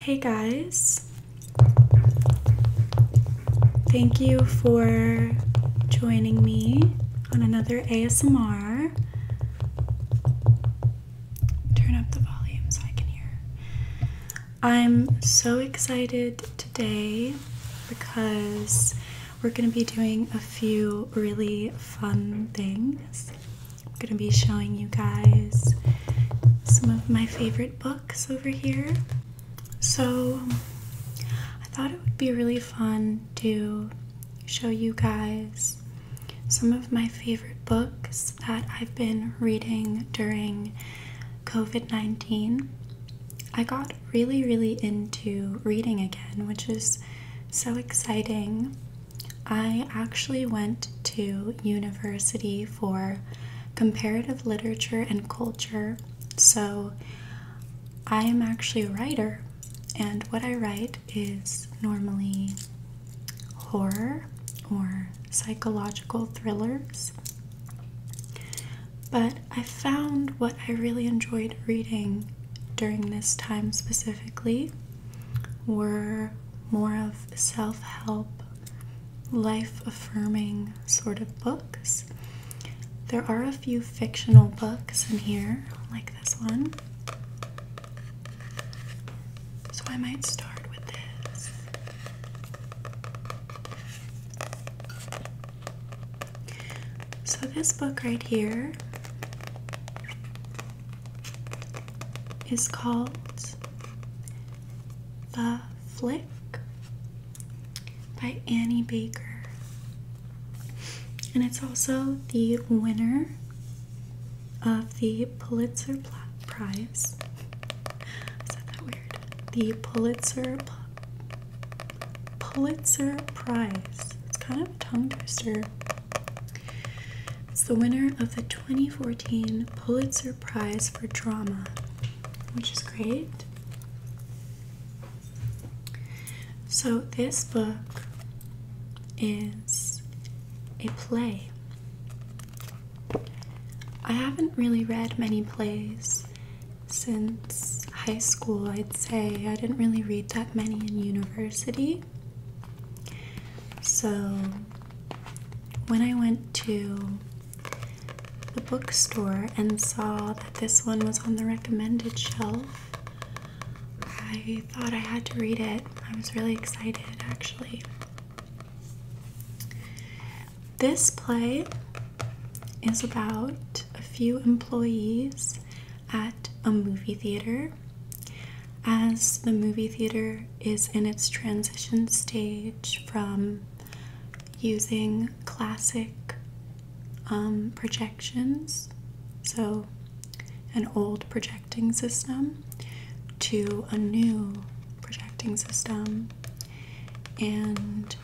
Hey guys, thank you for joining me on another ASMR. Turn up the volume so I can hear. I'm so excited today because we're going to be doing a few really fun things. going to be showing you guys some of my favorite books over here. So um, I thought it would be really fun to show you guys some of my favorite books that I've been reading during COVID 19. I got really, really into reading again, which is so exciting. I actually went to university for comparative literature and culture. So I am actually a writer, and what I write is normally horror or psychological thrillers. But I found what I really enjoyed reading during this time specifically were more of self help life affirming sort of books. There are a few fictional books in here, like this one. So I might start with this. So, this book right here is called the Flick by Annie Baker. And it's also the winner of the Pulitzer Prize. Is that, that weird? The Pulitzer Pulitzer Prize. It's kind of a tongue twister. It's the winner of the 2014 Pulitzer Prize for Drama, which is great. So, this book is a play. I haven't really read many plays since high school, I'd say. I didn't really read that many in university. So, when I went to the bookstore and saw that this one was on the recommended shelf, I thought I had to read it. I was really excited actually. This play is about a few employees at a movie theater. As the movie theater is in its transition stage from using classic um, projections, so an old projecting system, to a new projecting system. And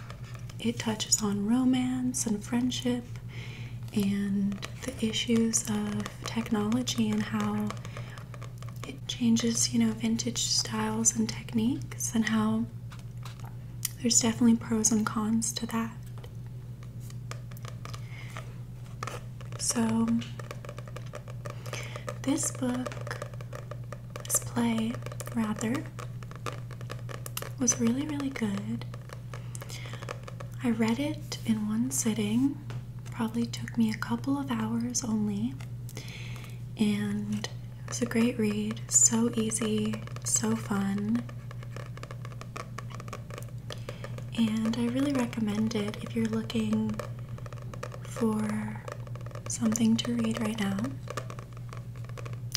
it touches on romance and friendship and the issues of technology and how it changes, you know, vintage styles and techniques, and how there's definitely pros and cons to that. So, this book, this play, rather, was really, really good. I read it in one sitting Probably took me a couple of hours only. And it was a great read. So easy, so fun. And I really recommend it if you're looking for something to read right now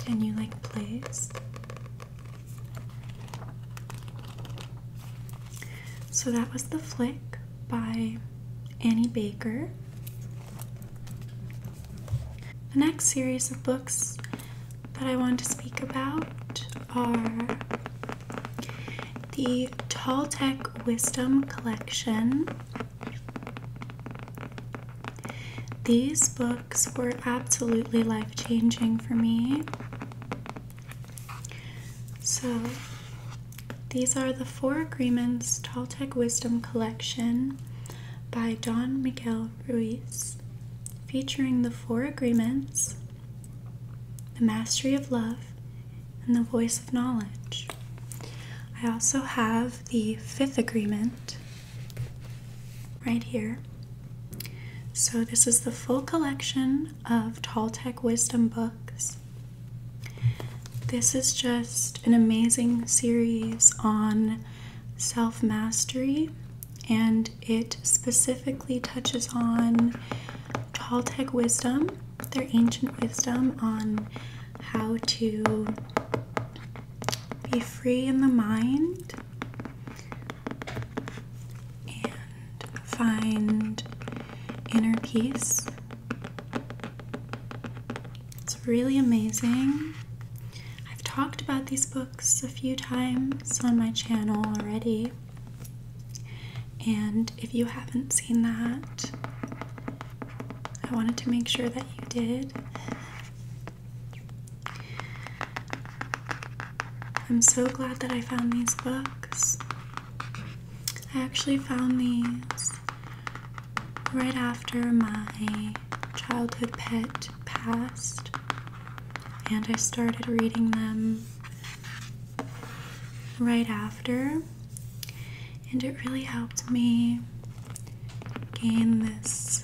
Can you like please? So that was The Flick by Annie Baker. The next series of books that I want to speak about are the Tall Tech Wisdom Collection. These books were absolutely life changing for me. So, these are the Four Agreements Toltec Wisdom Collection by Don Miguel Ruiz, featuring the Four Agreements, the Mastery of Love, and the Voice of Knowledge. I also have the Fifth Agreement right here. So, this is the full collection of Toltec Wisdom books. This is just an amazing series on self mastery, and it specifically touches on Toltec wisdom, their ancient wisdom on how to be free in the mind and find inner peace it's really amazing. I've talked about these books a few times on my channel already. And if you haven't seen that, I wanted to make sure that you did. I'm so glad that I found these books. I actually found these right after my childhood pet passed, and I started reading them right after, and it really helped me gain this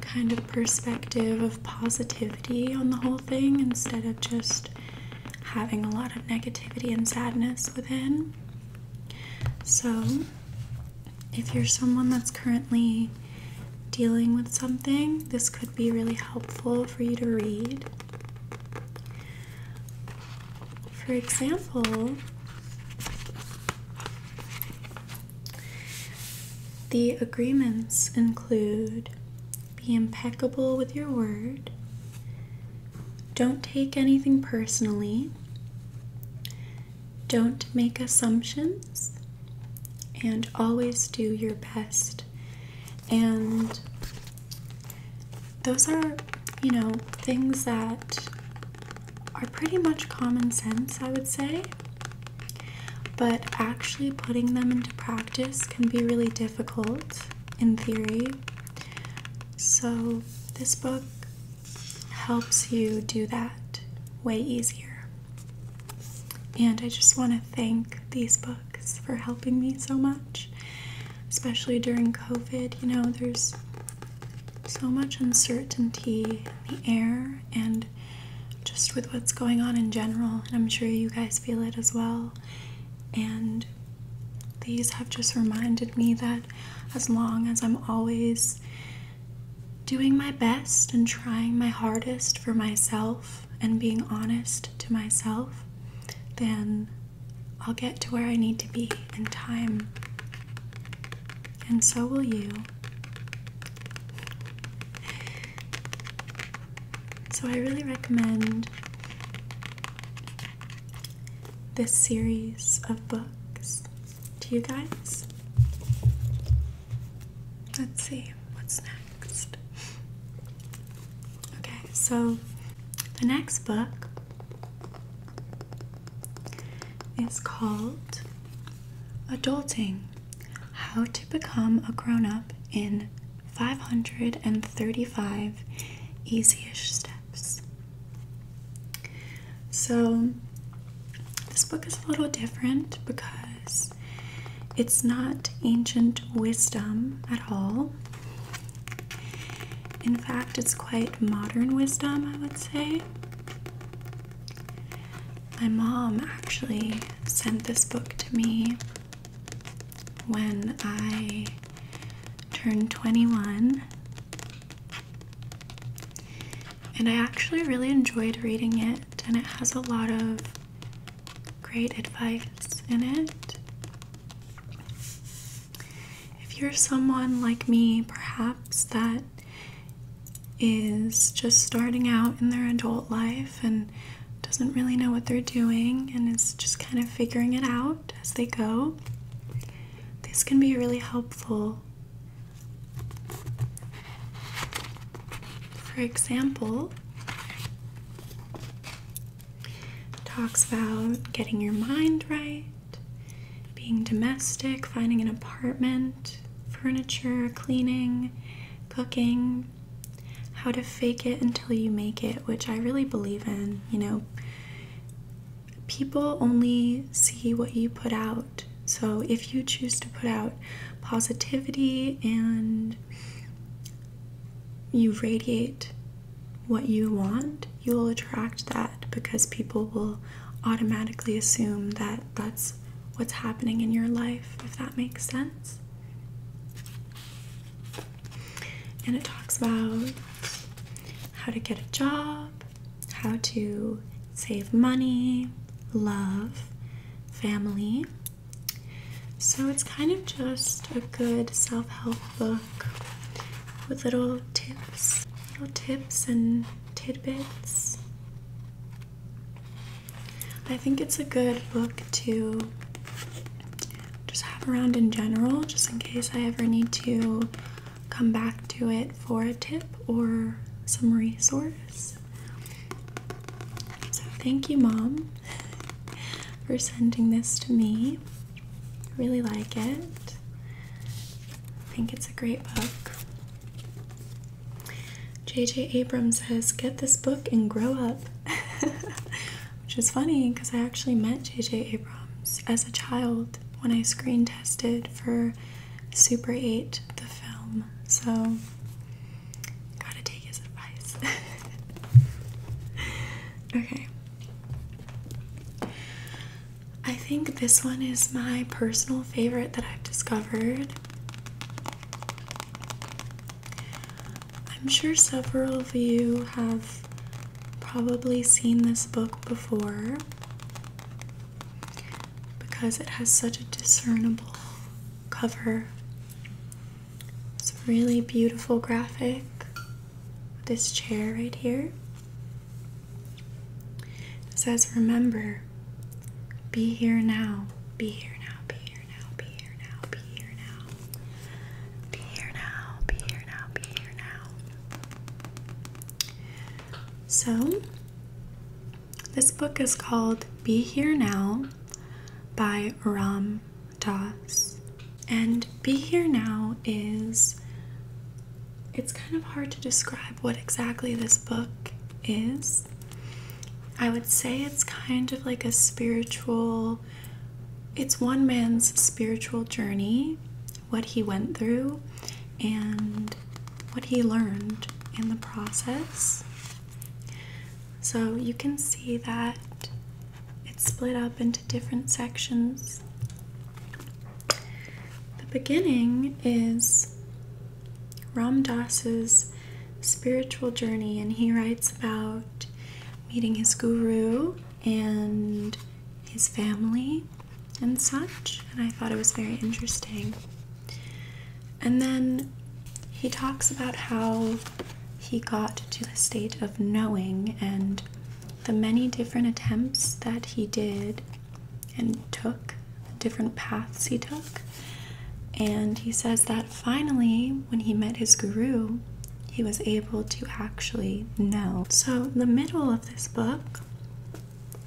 kind of perspective of positivity on the whole thing instead of just having a lot of negativity and sadness within. So, if you're someone that's currently dealing with something, this could be really helpful for you to read. For example, the agreements include be impeccable with your word, don't take anything personally. Don't make assumptions. And always do your best. And those are, you know, things that are pretty much common sense, I would say. But actually putting them into practice can be really difficult in theory, so, this book helps you do that way easier. And I just want to thank these books for helping me so much, especially during COVID. You know, there's so much uncertainty in the air and just with what's going on in general, and I'm sure you guys feel it as well. And these have just reminded me that as long as I'm always doing my best and trying my hardest for myself and being honest to myself, then I'll get to where I need to be in time. And so will you. So I really recommend this series of books to you guys. Let's see what's next. Okay, so the next book is called Adulting How to Become a Grown Up in 535 easy-ish steps. So this book is a little different because it's not ancient wisdom at all. In fact, it's quite modern wisdom, I would say. My mom actually sent this book to me when I turned 21. And I actually really enjoyed reading it, and it has a lot of great advice in it. If you're someone like me, perhaps that is just starting out in their adult life and doesn't really know what they're doing and is just kind of figuring it out as they go. this can be really helpful. For example, talks about getting your mind right, being domestic, finding an apartment, furniture, cleaning, cooking, how to fake it until you make it, which I really believe in. You know, people only see what you put out. So if you choose to put out positivity and you radiate what you want, you will attract that because people will automatically assume that that's what's happening in your life, if that makes sense. And it talks about how to get a job, how to save money, love, family. So it's kind of just a good self help book with little tips, little tips and tidbits. I think it's a good book to just have around in general, just in case I ever need to come back to it for a tip or some resource. So, thank you, Mom, for sending this to me. I really like it. I think it's a great book. JJ Abrams says, Get this book and grow up. which is funny because I actually met JJ Abrams as a child when I screen tested for Super 8 the film. So gotta take his advice. okay. I think this one is my personal favorite that I've discovered. I'm sure several of you have probably seen this book before because it has such a discernible cover. It's a really beautiful graphic. This chair right here. It says, Remember, be here now, be here now, be here now, be here now, be here now. Be here now, be here now, be here now. So, this book is called Be Here Now by Ram Dass. And Be Here Now is, it's kind of hard to describe what exactly this book is. I would say it's kind of like a spiritual it's one man's spiritual journey, what he went through, and what he learned in the process. So you can see that it's split up into different sections. The beginning is Ram Dass's spiritual journey, and he writes about meeting his guru and his family and such, and I thought it was very interesting. And then he talks about how he got to the state of knowing and the many different attempts that he did and took, different paths he took. And he says that finally, when he met his guru, he was able to actually know. So, the middle of this book,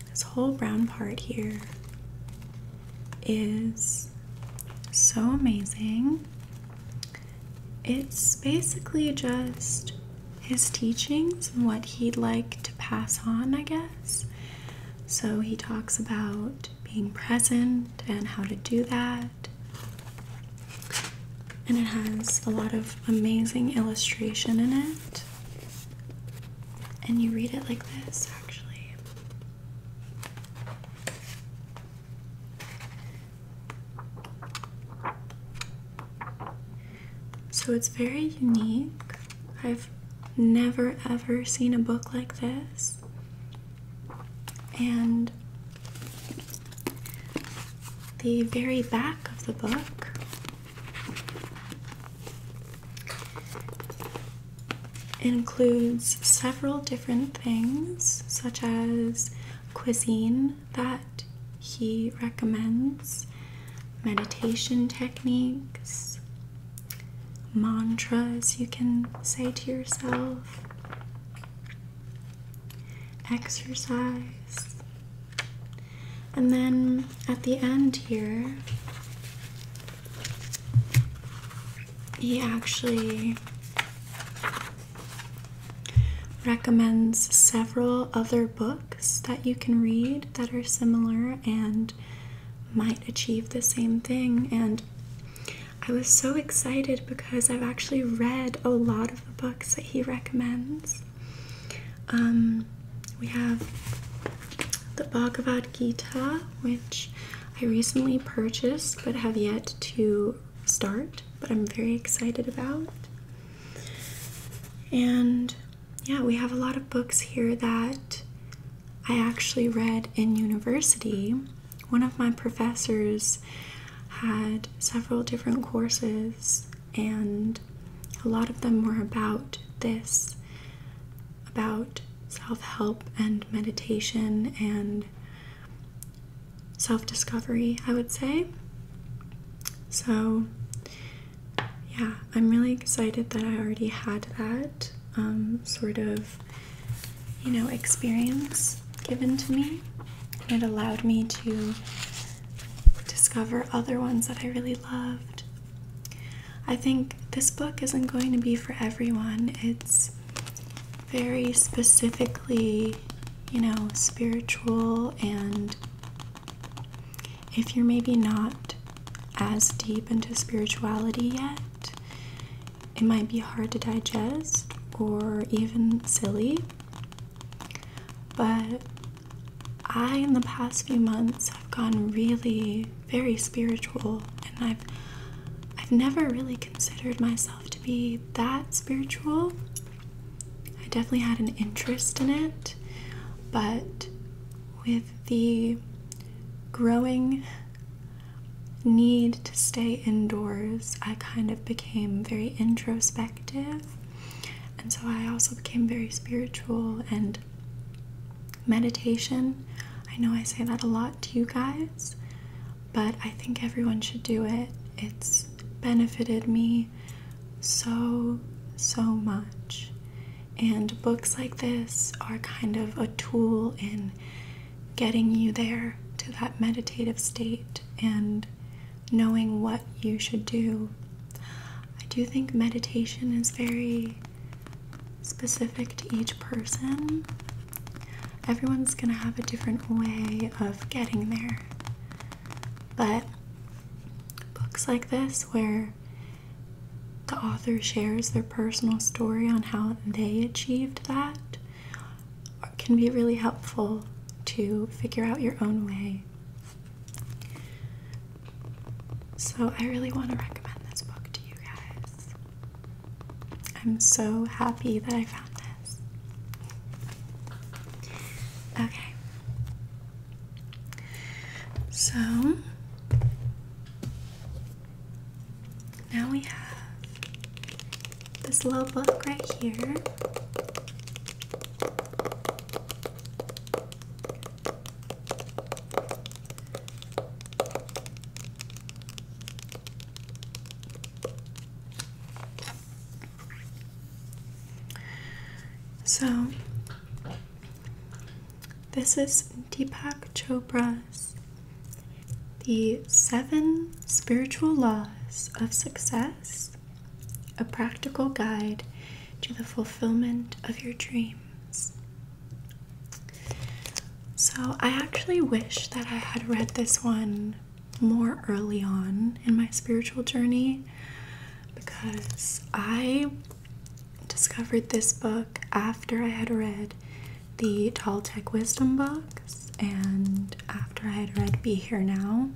this whole brown part here, is so amazing. It's basically just his teachings and what he'd like to pass on, I guess. So, he talks about being present and how to do that and it has a lot of amazing illustration in it. And you read it like this, actually. So it's very unique. I've never ever seen a book like this. And the very back of the book includes several different things, such as cuisine that he recommends, meditation techniques, mantras you can say to yourself, exercise. And then at the end here, he actually recommends several other books that you can read that are similar and might achieve the same thing. And I was so excited because I've actually read a lot of the books that he recommends. Um, we have the Bhagavad Gita, which I recently purchased but have yet to start, but I'm very excited about. And yeah, we have a lot of books here that I actually read in university. One of my professors had several different courses, and a lot of them were about this about self help and meditation and self discovery, I would say. So, yeah, I'm really excited that I already had that um, sort of, you know, experience given to me it allowed me to discover other ones that I really loved. I think this book isn't going to be for everyone. It's very specifically, you know, spiritual, and if you're maybe not as deep into spirituality yet, it might be hard to digest or even silly. But I, in the past few months, have gotten really very spiritual, and I've I've never really considered myself to be that spiritual. I definitely had an interest in it, but with the growing need to stay indoors, I kind of became very introspective and so I also became very spiritual and meditation. I know I say that a lot to you guys, but I think everyone should do it. It's benefited me so, so much. And books like this are kind of a tool in getting you there to that meditative state and knowing what you should do. I do think meditation is very specific to each person. Everyone's going to have a different way of getting there. But books like this, where the author shares their personal story on how they achieved that, can be really helpful to figure out your own way. So, I really want to recommend this book to you guys. I'm so happy that I found this. Okay. So, now we have this little book right here. So, this is Deepak Chopra's The Seven Spiritual Laws of Success a practical guide to the fulfillment of your dreams. So, I actually wish that I had read this one more early on in my spiritual journey because I discovered this book after I had read the Tall Tech Wisdom box and after I had read Be Here Now.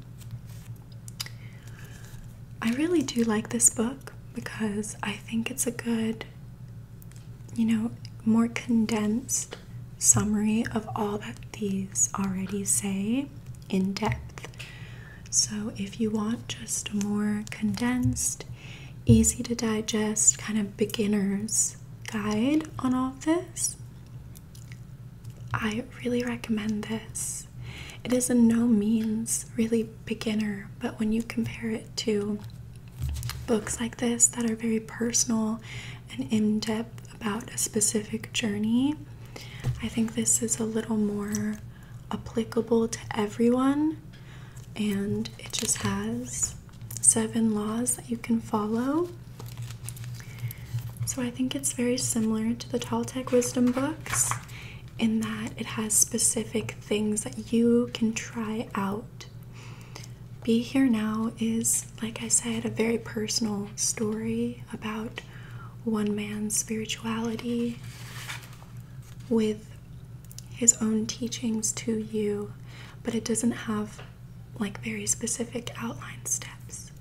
I really do like this book because I think it's a good, you know, more condensed summary of all that these already say in depth. So, if you want just a more condensed, easy to digest, kind of beginner's guide on all of this, I really recommend this. It is in no means really beginner, but when you compare it to books like this that are very personal and in depth about a specific journey, I think this is a little more applicable to everyone. And it just has seven laws that you can follow so I think it's very similar to the Toltec wisdom books in that it has specific things that you can try out. Be Here Now is, like I said, a very personal story about one man's spirituality with his own teachings to you, but it doesn't have like very specific outline steps.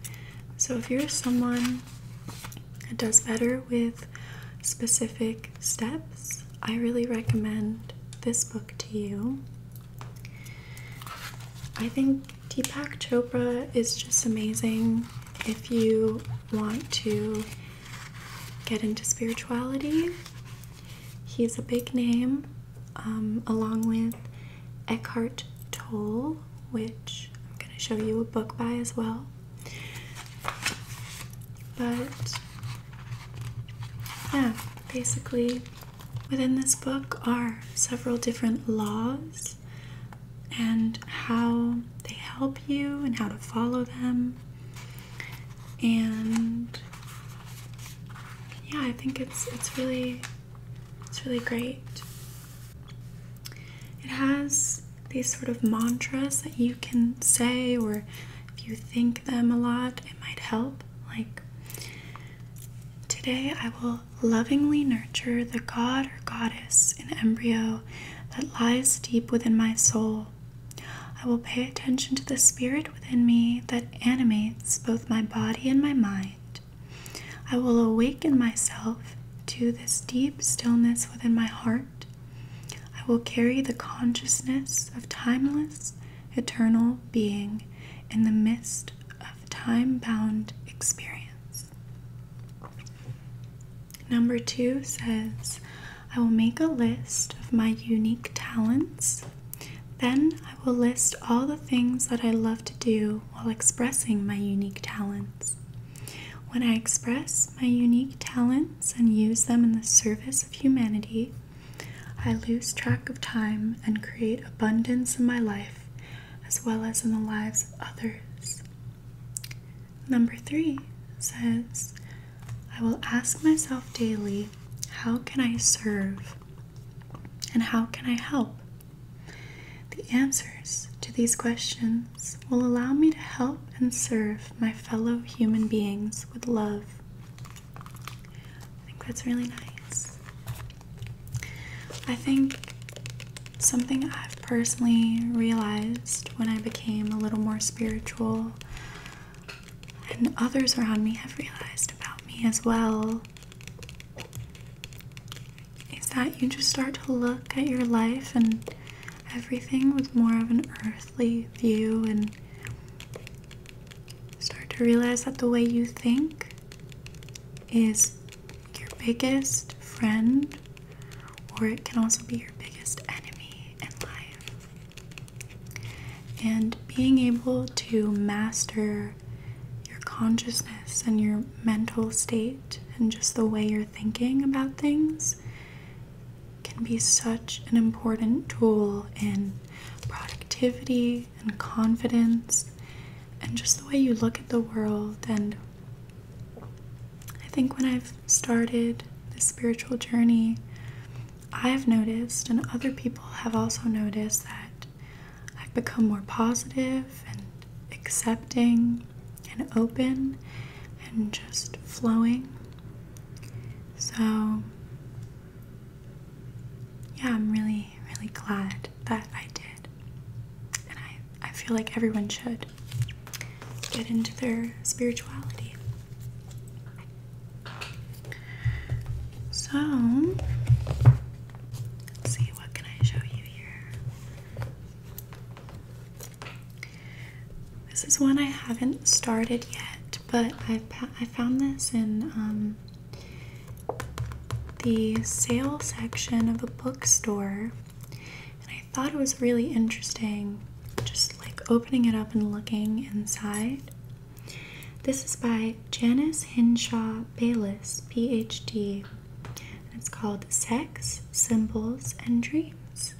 So if you're someone that does better with specific steps, I really recommend this book to you. I think Deepak Chopra is just amazing if you want to get into spirituality. He's a big name, um, along with Eckhart Tolle, which I'm going to show you a book by as well. But yeah, basically, within this book are several different laws and how they help you and how to follow them. And yeah, I think it's it's really it's really great. It has these sort of mantras that you can say, or if you think them a lot, it might help. Like, today I will lovingly nurture the god or goddess in embryo that lies deep within my soul. I will pay attention to the spirit within me that animates both my body and my mind. I will awaken myself to this deep stillness within my heart. I will carry the consciousness of timeless, eternal being in the midst of time bound experience. Number two says, I will make a list of my unique talents. Then I will list all the things that I love to do while expressing my unique talents. When I express my unique talents and use them in the service of humanity, I lose track of time and create abundance in my life as well as in the lives of others. Number three says, I will ask myself daily, how can I serve and how can I help? The answers to these questions will allow me to help and serve my fellow human beings with love. I think that's really nice. I think something I've personally realized when I became a little more spiritual, and others around me have realized about me as well, is that you just start to look at your life and everything with more of an earthly view and start to realize that the way you think is your biggest friend or it can also be your biggest enemy in life. And being able to master your consciousness and your mental state and just the way you're thinking about things can be such an important tool in productivity and confidence and just the way you look at the world and I think when I've started this spiritual journey I've noticed and other people have also noticed that I've become more positive and accepting and open and just flowing. So, yeah, I'm really, really glad that I did. And I, I feel like everyone should get into their spirituality. So, see what can I show you? This is one I haven't started yet, but I I found this in um, the sale section of a bookstore, and I thought it was really interesting. Just like opening it up and looking inside. This is by Janice Henshaw Bayless, PhD it's called Sex, Symbols, and Dreams.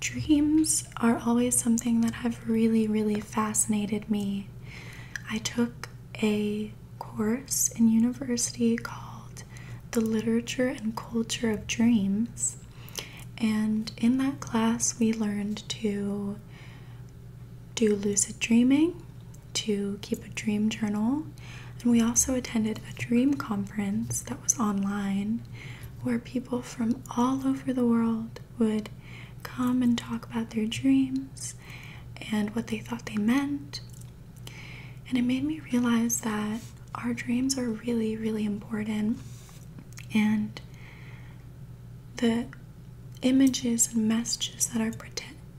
Dreams are always something that have really, really fascinated me. I took a course in university called The Literature and Culture of Dreams. And in that class, we learned to do lucid dreaming, to keep a dream journal. And we also attended a dream conference that was online where people from all over the world would come and talk about their dreams and what they thought they meant. And it made me realize that our dreams are really, really important. And that. Images and messages that are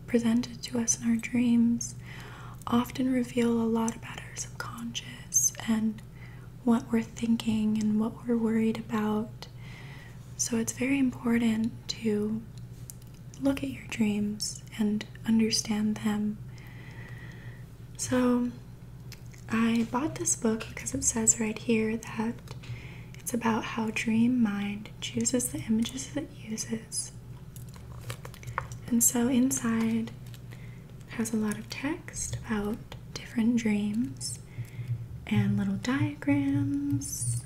presented to us in our dreams often reveal a lot about our subconscious and what we're thinking and what we're worried about. So it's very important to look at your dreams and understand them. So I bought this book because it says right here that it's about how dream mind chooses the images that uses. And so inside has a lot of text about different dreams and little diagrams.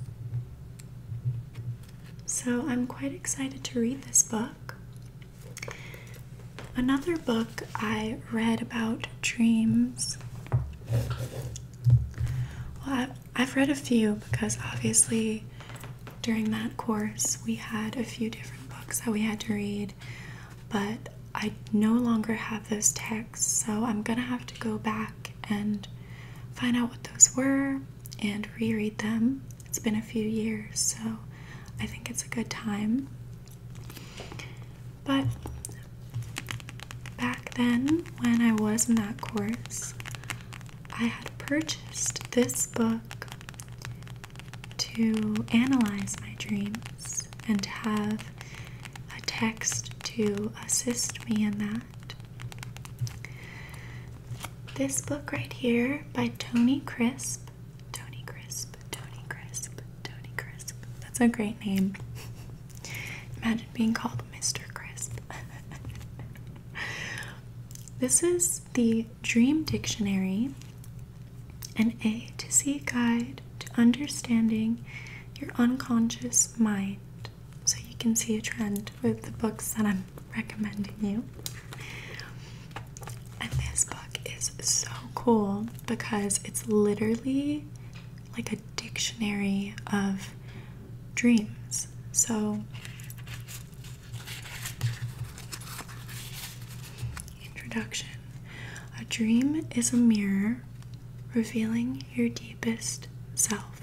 So I'm quite excited to read this book. Another book I read about dreams. Well, I've read a few because obviously during that course we had a few different books that we had to read, but I no longer have those texts, so I'm gonna have to go back and find out what those were and reread them. It's been a few years, so I think it's a good time. But back then, when I was in that course, I had purchased this book to analyze my dreams and have a text to assist me in that. This book right here by Tony Crisp. Tony Crisp, Tony Crisp, Tony Crisp. That's a great name. Imagine being called Mr. Crisp. this is the Dream Dictionary, an A to Z guide to understanding your unconscious mind. So you can see a trend with the books that I'm recommending you. And this book is so cool because it's literally like a dictionary of dreams. So Introduction A dream is a mirror revealing your deepest self.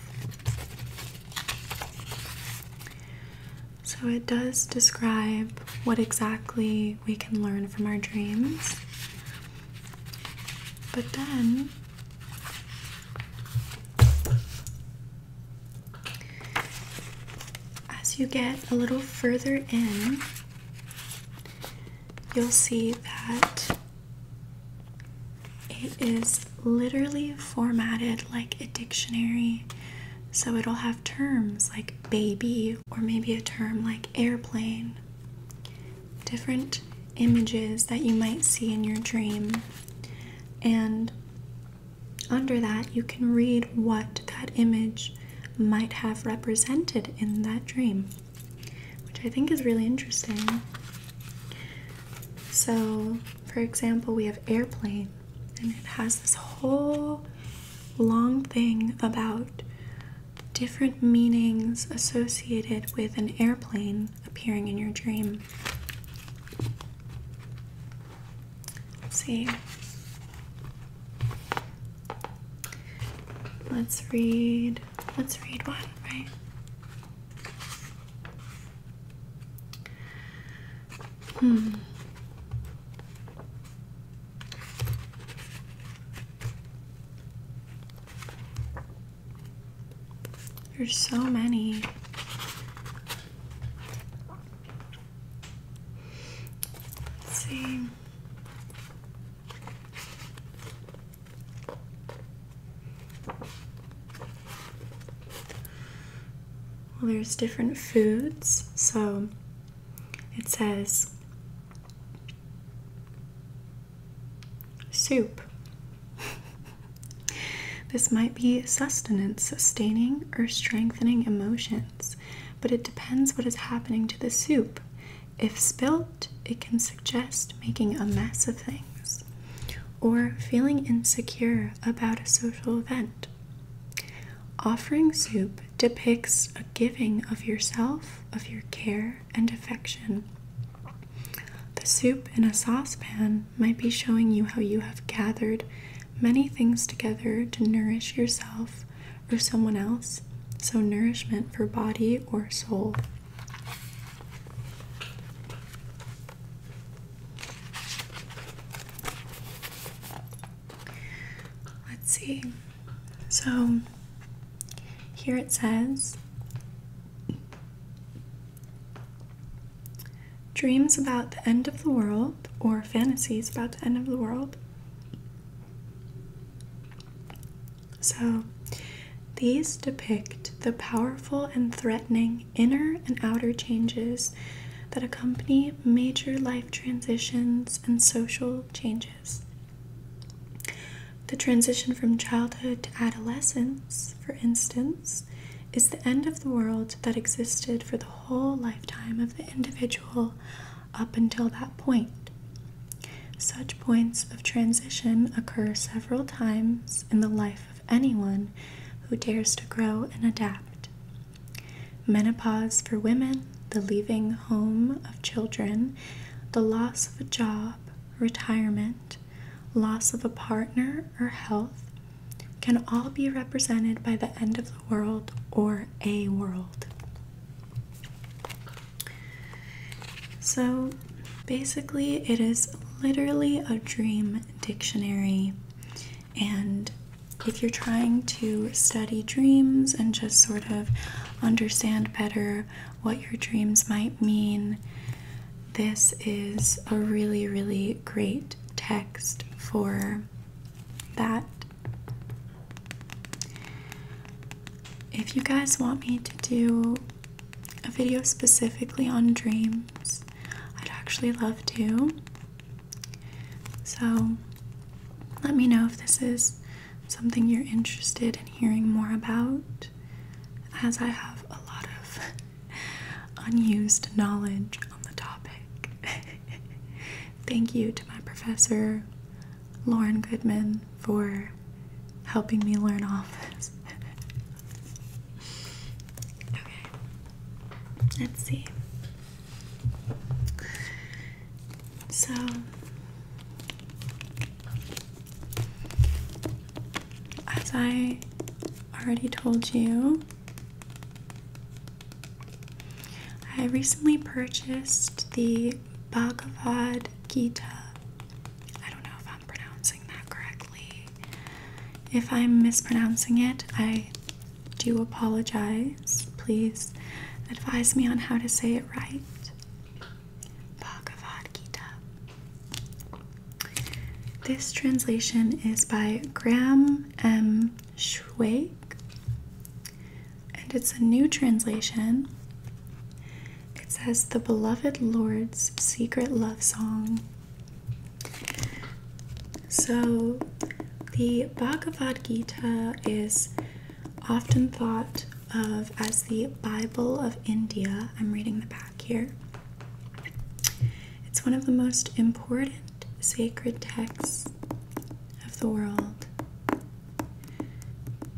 So it does describe what exactly we can learn from our dreams. But then as you get a little further in, you'll see that it is literally formatted like a dictionary. So it'll have terms like baby or maybe a term like airplane. Different images that you might see in your dream. And under that, you can read what that image might have represented in that dream, which I think is really interesting. So, for example, we have airplane, and it has this whole long thing about different meanings associated with an airplane appearing in your dream let's see. Let's read. Let's read one, right? Hmm. There's so many. see. Well, there's different foods, so it says Soup. this might be sustenance, sustaining, or strengthening emotions, but it depends what is happening to the soup. If spilt, it can suggest making a mess of things or feeling insecure about a social event. Offering soup depicts a giving of yourself, of your care, and affection. The soup in a saucepan might be showing you how you have gathered many things together to nourish yourself or someone else, so nourishment for body or soul. Let's see. So here it says Dreams about the end of the world or fantasies about the end of the world. So, these depict the powerful and threatening inner and outer changes that accompany major life transitions and social changes. The transition from childhood to adolescence for instance, is the end of the world that existed for the whole lifetime of the individual up until that point. Such points of transition occur several times in the life of anyone who dares to grow and adapt. Menopause for women, the leaving home of children, the loss of a job, retirement, loss of a partner, or health can all be represented by the end of the world or a world. So basically, it is literally a dream dictionary. And if you're trying to study dreams and just sort of understand better what your dreams might mean, this is a really, really great text for that. If you guys want me to do a video specifically on dreams, I'd actually love to. So let me know if this is something you're interested in hearing more about, as I have a lot of unused knowledge on the topic. Thank you to my professor, Lauren Goodman, for helping me learn all okay, let's see. So, as I already told you, I recently purchased the Bhagavad Gita. I don't know if I'm pronouncing that correctly. If I'm mispronouncing it, I do apologize. Please advise me on how to say it right. Bhagavad Gita. This translation is by Graham M. Schweig, and it's a new translation. It says, The Beloved Lord's Secret Love Song. So, the Bhagavad Gita is often thought of as the Bible of India. I'm reading the back here. It's one of the most important sacred texts of the world.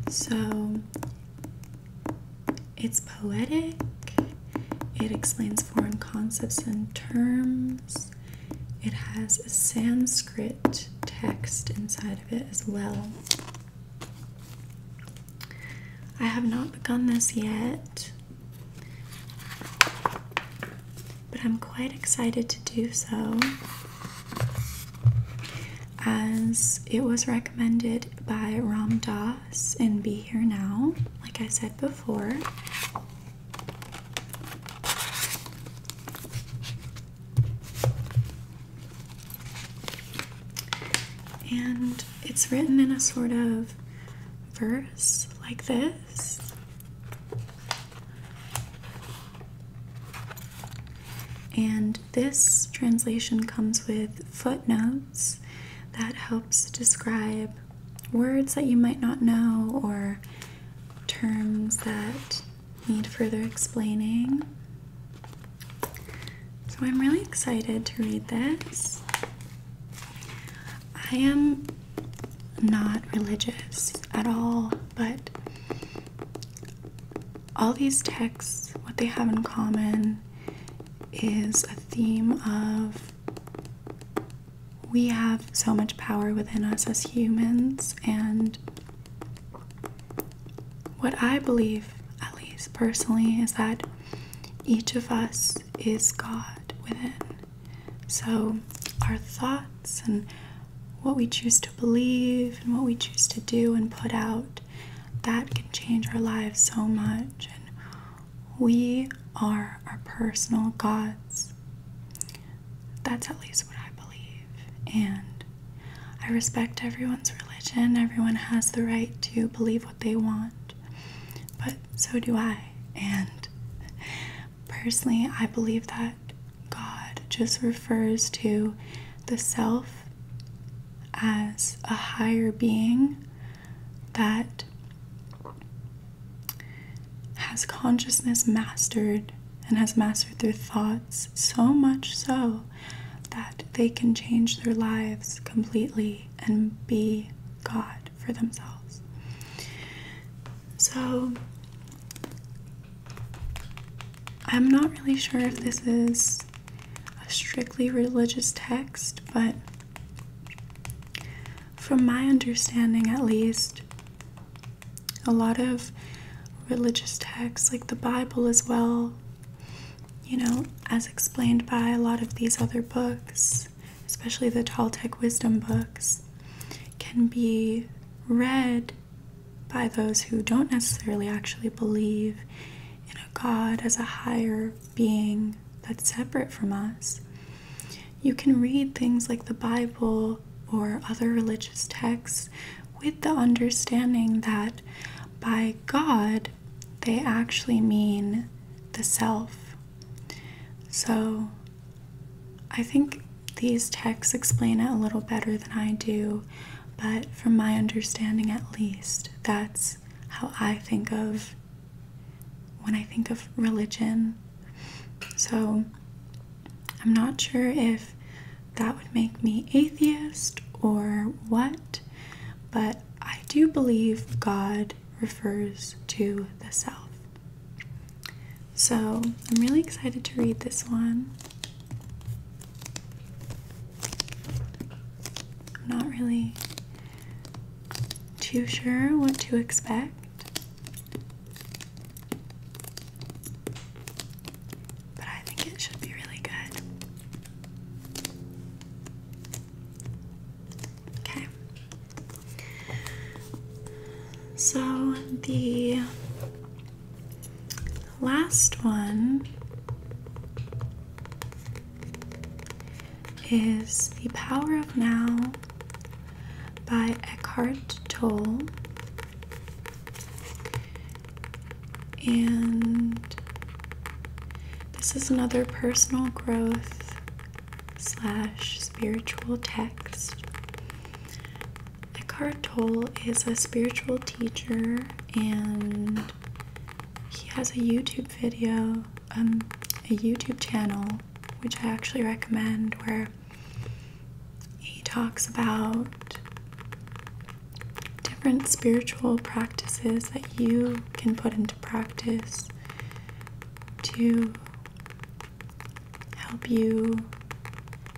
So it's poetic, it explains foreign concepts and terms, it has a Sanskrit text inside of it as well. I have not begun this yet, but I'm quite excited to do so as it was recommended by Ram Dass and Be Here Now, like I said before. And it's written in a sort of verse like this. And this translation comes with footnotes that helps describe words that you might not know or terms that need further explaining. So I'm really excited to read this. I am not religious at all, but all these texts, what they have in common is a theme of we have so much power within us as humans, and what I believe, at least personally, is that each of us is God within. So, our thoughts and what we choose to believe and what we choose to do and put out, that can change our lives so much. And we are our personal gods. That's at least what I believe. And I respect everyone's religion, everyone has the right to believe what they want but so do I. And personally, I believe that God just refers to the self as a higher being that has consciousness mastered and has mastered their thoughts so much so that they can change their lives completely and be God for themselves. So, I'm not really sure if this is a strictly religious text, but from my understanding at least, a lot of religious texts, like the Bible as well, you know, as explained by a lot of these other books, especially the Toltec wisdom books, can be read by those who don't necessarily actually believe in a God as a higher being that's separate from us. You can read things like the Bible or other religious texts with the understanding that by God, they actually mean the self. So I think these texts explain it a little better than I do, but from my understanding at least, that's how I think of when I think of religion. So I'm not sure if that would make me atheist or what, but I do believe God refers to the self. So I'm really excited to read this one. not really too sure what to expect. But I think it should be really good. Okay. So the last one is The Power of Now by Eckhart Tolle. And this is another personal growth slash spiritual text. Eckhart Tolle is a spiritual teacher and he has a YouTube video, um, a YouTube channel, which I actually recommend, where he talks about different spiritual practices that you can put into practice practice to help you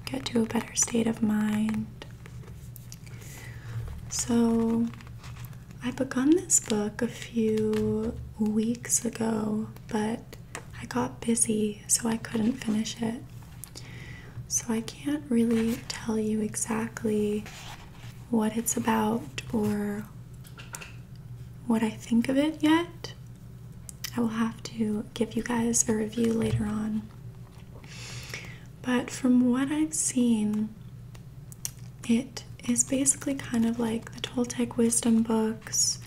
get to a better state of mind. So, I begun this book a few weeks ago, but I got busy so I couldn't finish it. So, I can't really tell you exactly what it's about or what I think of it yet. I will have to give you guys a review later on. But from what I've seen, it is basically kind of like the Toltec wisdom books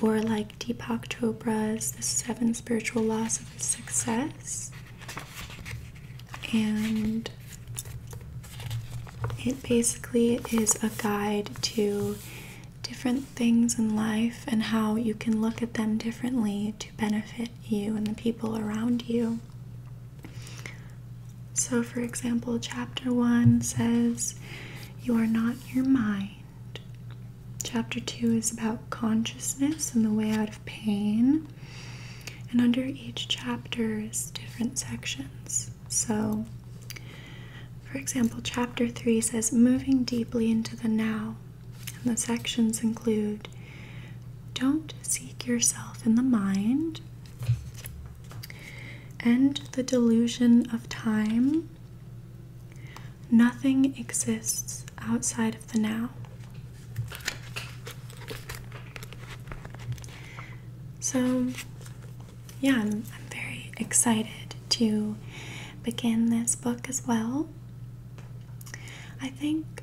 or like Deepak Chopra's The Seven Spiritual Laws of Success and it basically is a guide to different things in life and how you can look at them differently to benefit you and the people around you. So, for example, chapter one says, You are not your mind. Chapter two is about consciousness and the way out of pain. And under each chapter is different sections. So, for example, chapter 3 says moving deeply into the now. And the sections include don't seek yourself in the mind, end the delusion of time, nothing exists outside of the now. So, yeah, I'm, very excited to begin this book as well. I think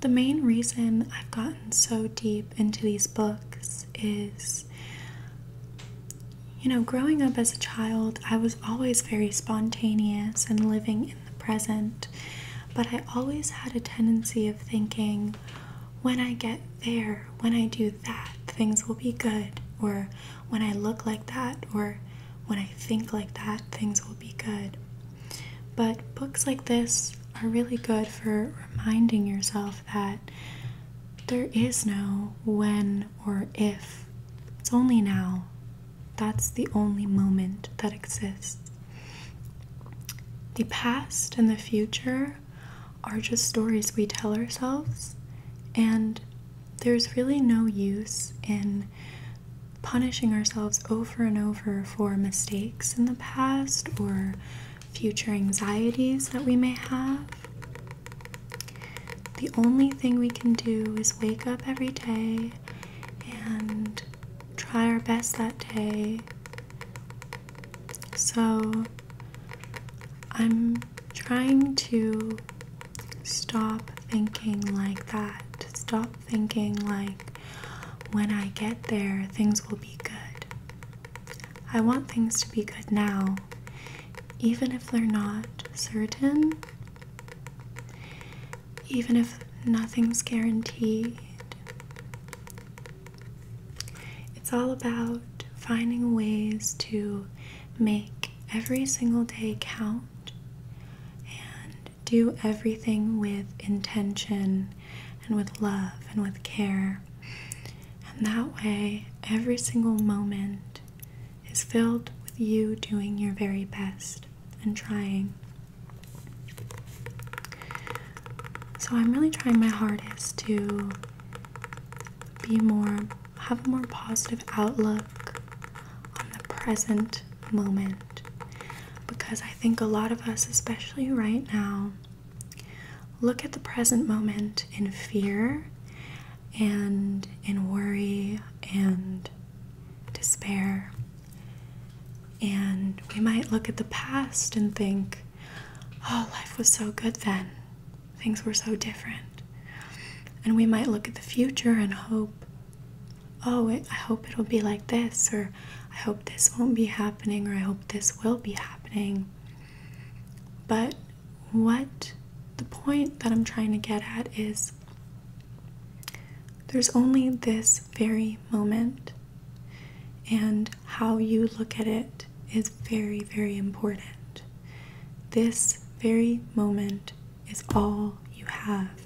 the main reason I've gotten so deep into these books is. You know, growing up as a child, I was always very spontaneous and living in the present. But I always had a tendency of thinking, when I get there, when I do that, things will be good. Or when I look like that, or when I think like that, things will be good. But books like this are really good for reminding yourself that there is no when or if. It's only now. That's the only moment that exists. The past and the future are just stories we tell ourselves, and there's really no use in punishing ourselves over and over for mistakes in the past or future anxieties that we may have. The only thing we can do is wake up every day and try our best that day. So I'm trying to stop thinking like that. Stop thinking like when I get there, things will be good. I want things to be good now, even if they're not certain, even if nothing's guaranteed. It's all about finding ways to make every single day count and do everything with intention and with love and with care. And that way, every single moment is filled with you doing your very best and trying so I'm really trying my hardest to be more have a more positive outlook on the present moment because I think a lot of us especially right now look at the present moment in fear and in worry and despair and we might look at the past and think oh, life was so good then. Things were so different. And we might look at the future and hope, oh, I hope it'll be like this, or I hope this won't be happening, or I hope this will be happening. But what the point that I'm trying to get at is there's only this this very moment. And how you look at it is very, very important. This very moment is all you have.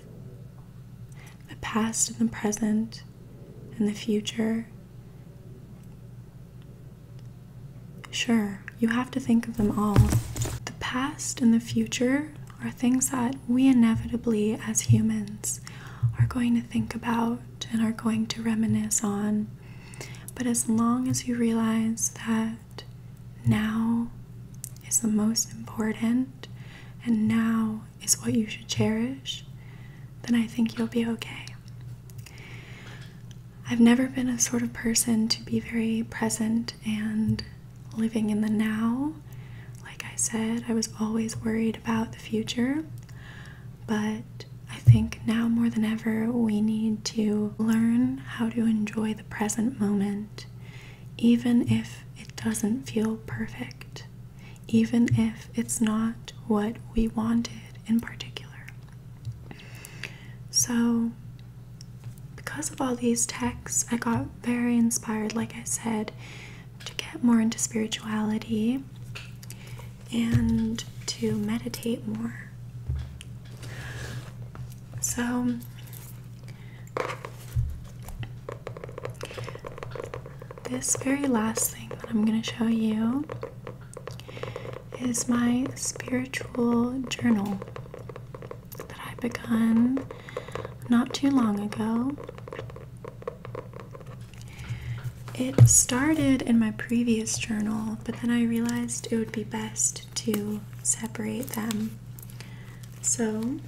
The past and the present and the future. Sure, you have to think of them all. The past and the future are things that we inevitably, as humans, are going to think about and are going to reminisce on. But as long as you realize that now is the most important and now is what you should cherish, then I think you'll be okay. I've never been a sort of person to be very present and living in the now. Like I said, I was always worried about the future. But I think now more than ever, we need to learn how to enjoy the present moment, even if it doesn't feel perfect, even if it's not what we wanted in particular. So, because of all these texts, I got very inspired, like I said, to get more into spirituality and to meditate more. So, this very last thing that I'm going to show you is my spiritual journal that I have begun not too long ago. It started in my previous journal, but then I realized it would be best to separate them. So,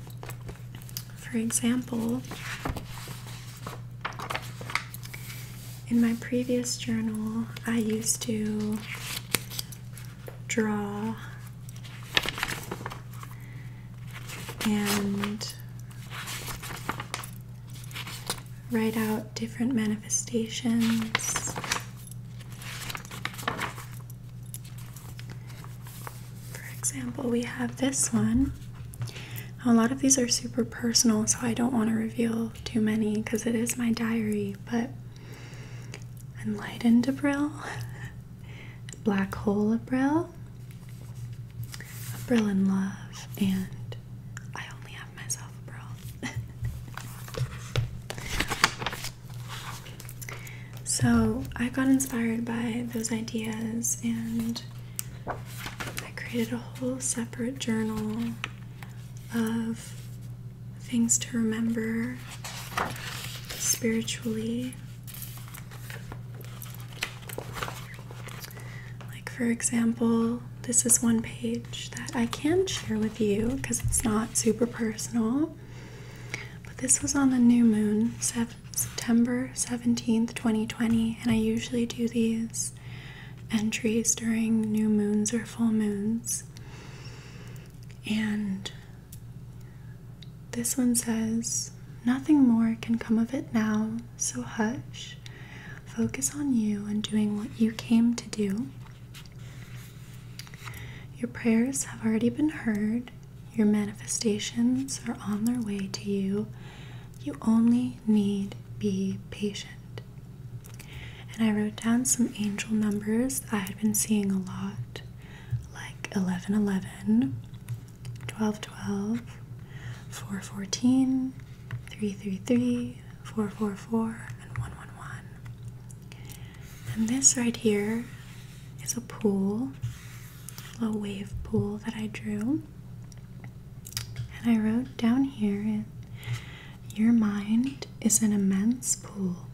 for example, in my previous journal, I used to draw and write out different manifestations. For example, we have this one. A lot of these are super personal, so I don't want to reveal too many because it is my diary, but enlightened April, black hole April, well. Brill and love, and I only have myself, Brill. so I got inspired by those ideas, and I created a whole separate journal of things to remember spiritually like, for example, this is one page that I can share with you because it's not super personal. But this was on the new moon, September 17th, 2020, and I usually do these entries during new moons or full moons. And this one says, Nothing more can come of it now so hush. Focus on you and doing what you came to do. Your prayers have already been heard, your manifestations are on their way to you. You only need be patient. And I wrote down some angel numbers I had been seeing a lot, like 1111, 12, 12, 4, 14, 3, 3, 3, 4, 4, 4, and 1, 1, 1. And this right here is a pool, a wave pool that I drew. And I wrote down here, your mind is an immense pool,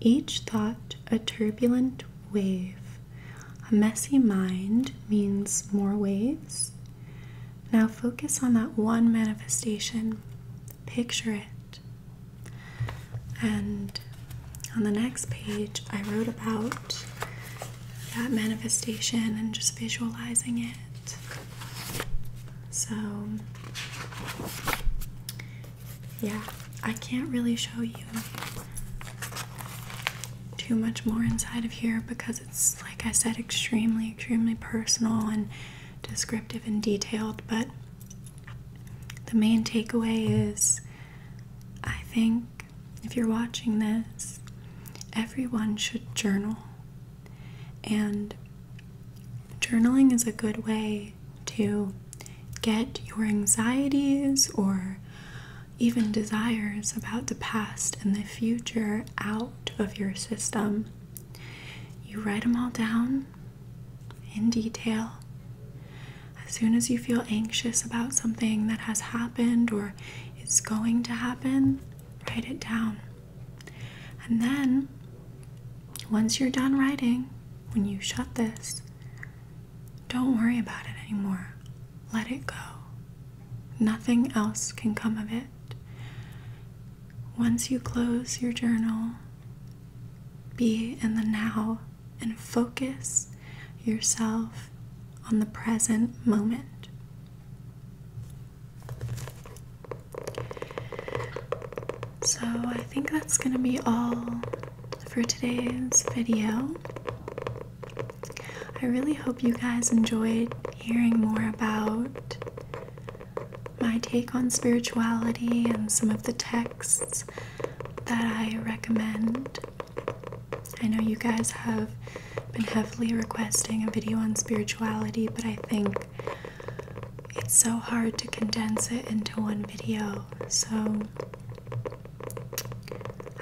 each thought a turbulent wave. A messy mind means more waves. Now focus on that one manifestation, picture it. And on the next page, I wrote about that manifestation and just visualizing it. So, yeah, I can't really show you too much more inside of here because it's, like I said, extremely, extremely personal and descriptive and detailed. But the main takeaway is I think if you're watching this, everyone should journal. And journaling is a good way to get your anxieties or even desires about the past and the future out of your system. You write them all down in detail. As soon as you feel anxious about something that has happened or is going to happen, write it down. And then, once you're done writing, when you shut this, don't worry about it anymore. Let it go. Nothing else can come of it. Once you close your journal, be in the now and focus yourself on the present moment. So, I think that's going to be all for today's video. I really hope you guys enjoyed hearing more about my take on spirituality and some of the texts that I recommend. I know you guys have been heavily requesting a video on spirituality, but I think it's so hard to condense it into one video. So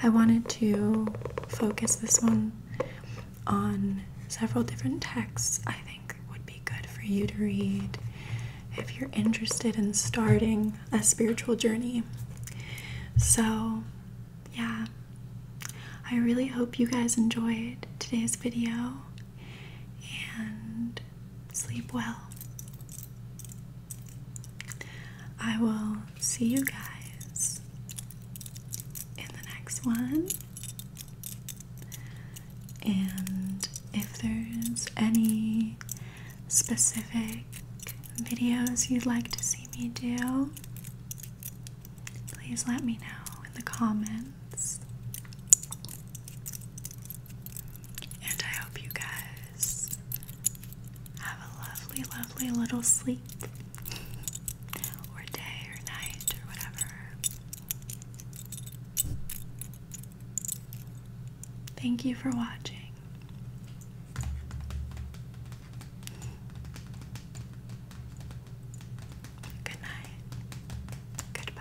I wanted to focus this one on several different texts I think would be good for you to read if you're interested in starting a spiritual journey. So, yeah, I really hope you guys enjoyed today's video and sleep well. I will see you guys in the next one. And if there's any specific videos you'd like to see me do, please let me know in the comments. And I hope you guys have a lovely, lovely little sleep or day or night or whatever. Thank you for watching. Good night. Goodbye.